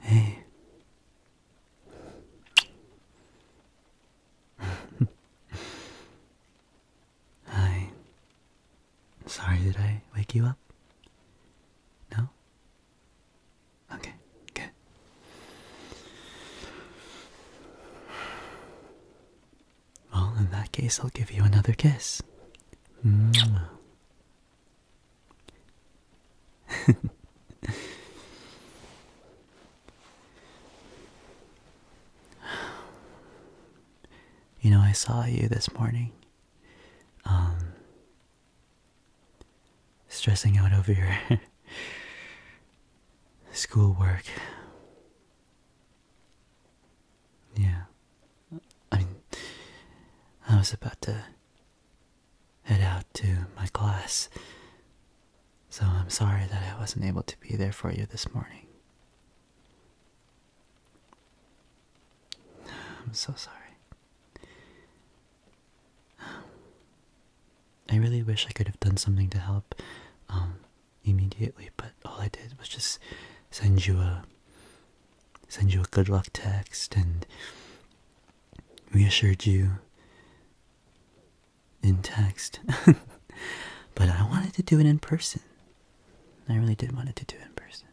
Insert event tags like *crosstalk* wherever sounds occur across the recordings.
Hey. Hi. Sorry, did I wake you up? No? Okay, good. Well, in that case, I'll give you another kiss. *laughs* you know, I saw you this morning. Um, stressing out over your *laughs* schoolwork. Yeah. I was about to head out to my class, so I'm sorry that I wasn't able to be there for you this morning. I'm so sorry. I really wish I could have done something to help um, immediately, but all I did was just send you a send you a good luck text and reassured you in text. *laughs* but I wanted to do it in person. I really did want it to do it in person.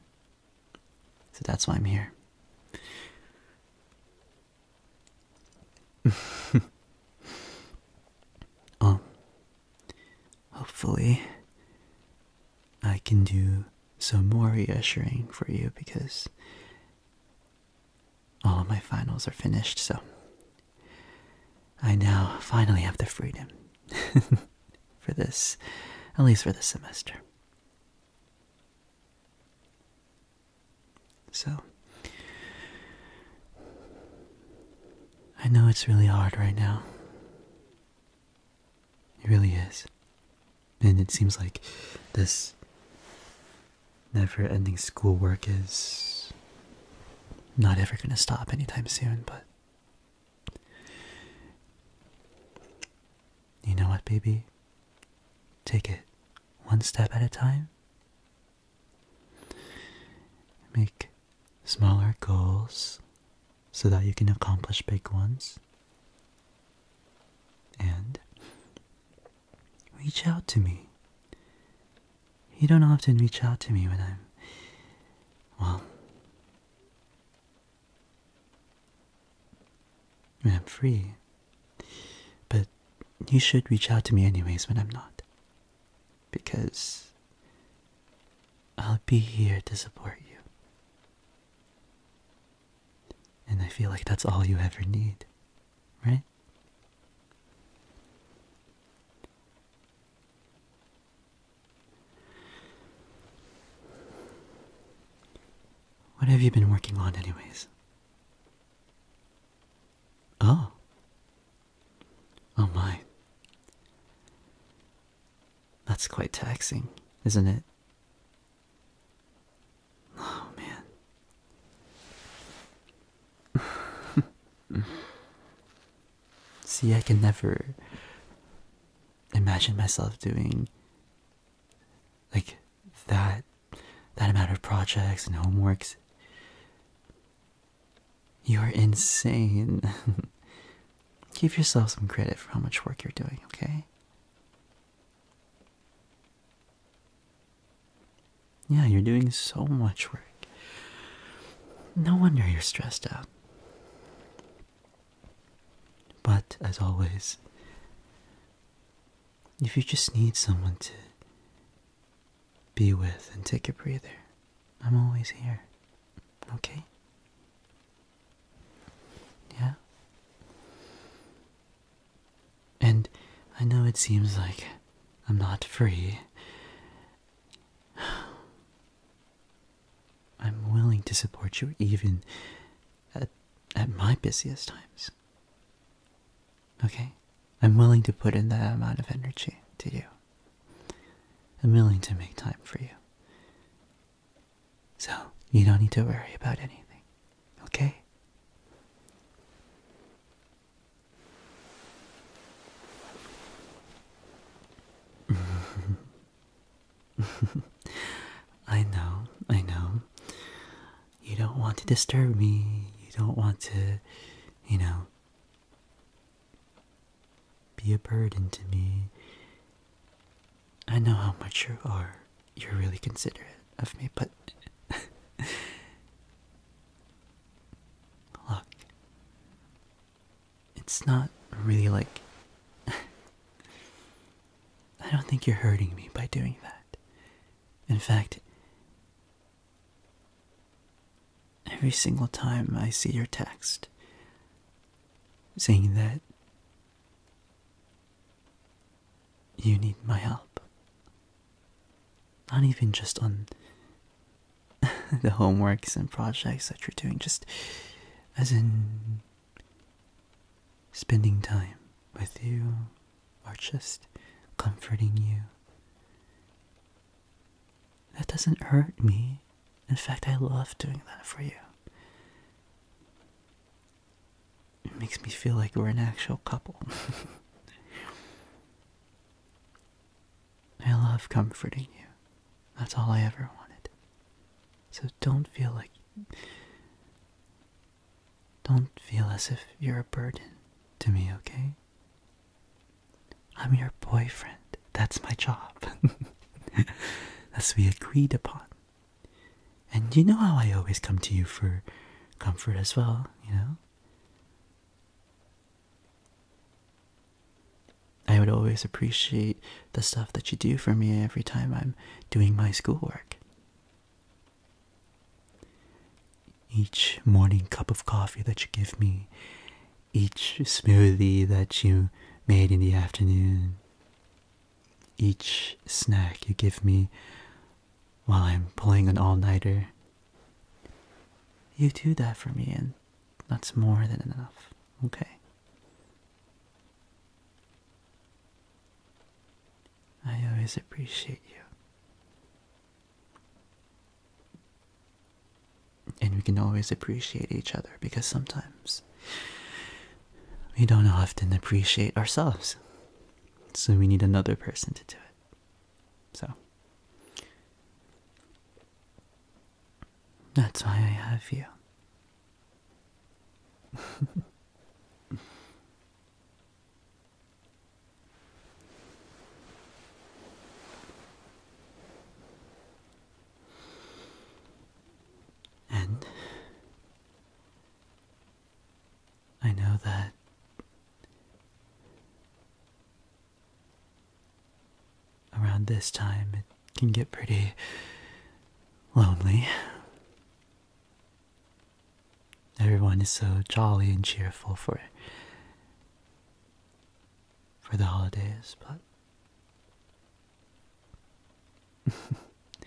So that's why I'm here. um, *laughs* hopefully, I can do some more reassuring for you because all of my finals are finished, so I now finally have the freedom. *laughs* for this, at least for this semester. So, I know it's really hard right now. It really is. And it seems like this never ending schoolwork is not ever going to stop anytime soon, but you know what, baby? Take it one step at a time. Make smaller goals so that you can accomplish big ones. And reach out to me. You don't often reach out to me when I'm, well, I'm free. But you should reach out to me anyways when I'm not. Because I'll be here to support you. And I feel like that's all you ever need, right? What have you been working on, anyways? Oh. Oh my. That's quite taxing, isn't it? Oh man. *laughs* See, I can never imagine myself doing like that that amount of projects and homeworks. You're insane. *laughs* Give yourself some credit for how much work you're doing, okay? Yeah, you're doing so much work. No wonder you're stressed out. But as always, if you just need someone to be with and take a breather, I'm always here. Okay? Yeah? And I know it seems like I'm not free *sighs* I'm willing to support you even at, at my busiest times. Okay? I'm willing to put in that amount of energy to you. I'm willing to make time for you. So, you don't need to worry about anything, okay? I know, I know. You don't want to disturb me. You don't want to, you know, be a burden to me. I know how much you are. You're really considerate of me, but Look. It's not really like. *laughs* I don't think you're hurting me by doing that. In fact, every single time I see your text saying that you need my help, not even just on *laughs* the homeworks and projects that you're doing, just as in spending time with you or just comforting you. That doesn't hurt me. In fact, I love doing that for you. It makes me feel like we're an actual couple. *laughs* I love comforting you. That's all I ever wanted. So don't feel like. Don't feel as if you're a burden to me, okay? I'm your boyfriend. That's my job. *laughs* That's we agreed upon. And you know how I always come to you for comfort as well, you know? I would always appreciate the stuff that you do for me every time I'm doing my schoolwork. Each morning cup of coffee that you give me, each smoothie that you made in the afternoon, each snack you give me while I'm pulling an all-nighter. You do that for me, and that's more than enough, okay? I always appreciate you. And we can always appreciate each other because sometimes we don't often appreciate ourselves. So we need another person to do it. So that's why I have you. *laughs* and I know that around this time it can get pretty lonely. Everyone is so jolly and cheerful for for the holidays, but *laughs*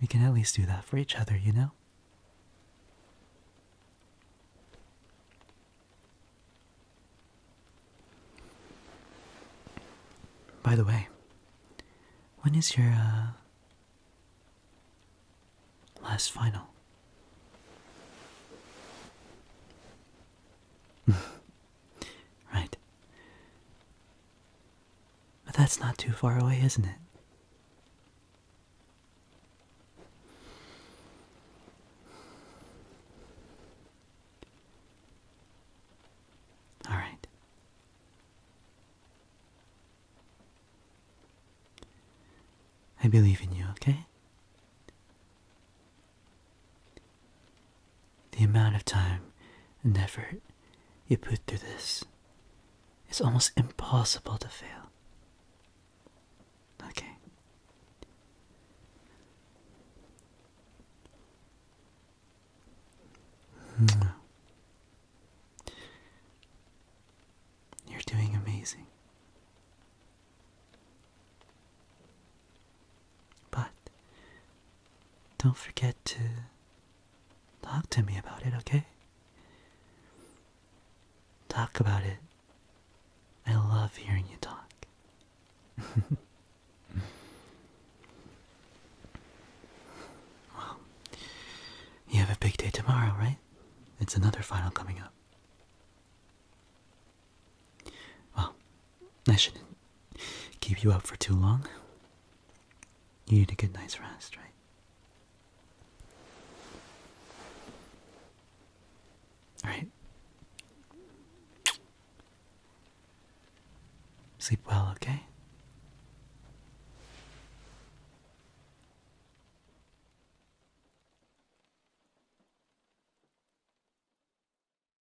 We can at least do that for each other, you know? By the way, when is your uh, last final? *laughs* right. But that's not too far away, isn't it? All right. I believe in you, okay? The amount of time and effort you put through this is almost impossible to fail. Okay. You're doing amazing. But don't forget to talk to me about it, okay? Talk about it. I love hearing you talk. *laughs* well, you have a big day tomorrow, right? It's another final coming up. Well, I shouldn't keep you up for too long. You need a good night's rest, right? Alright. Sleep well, okay?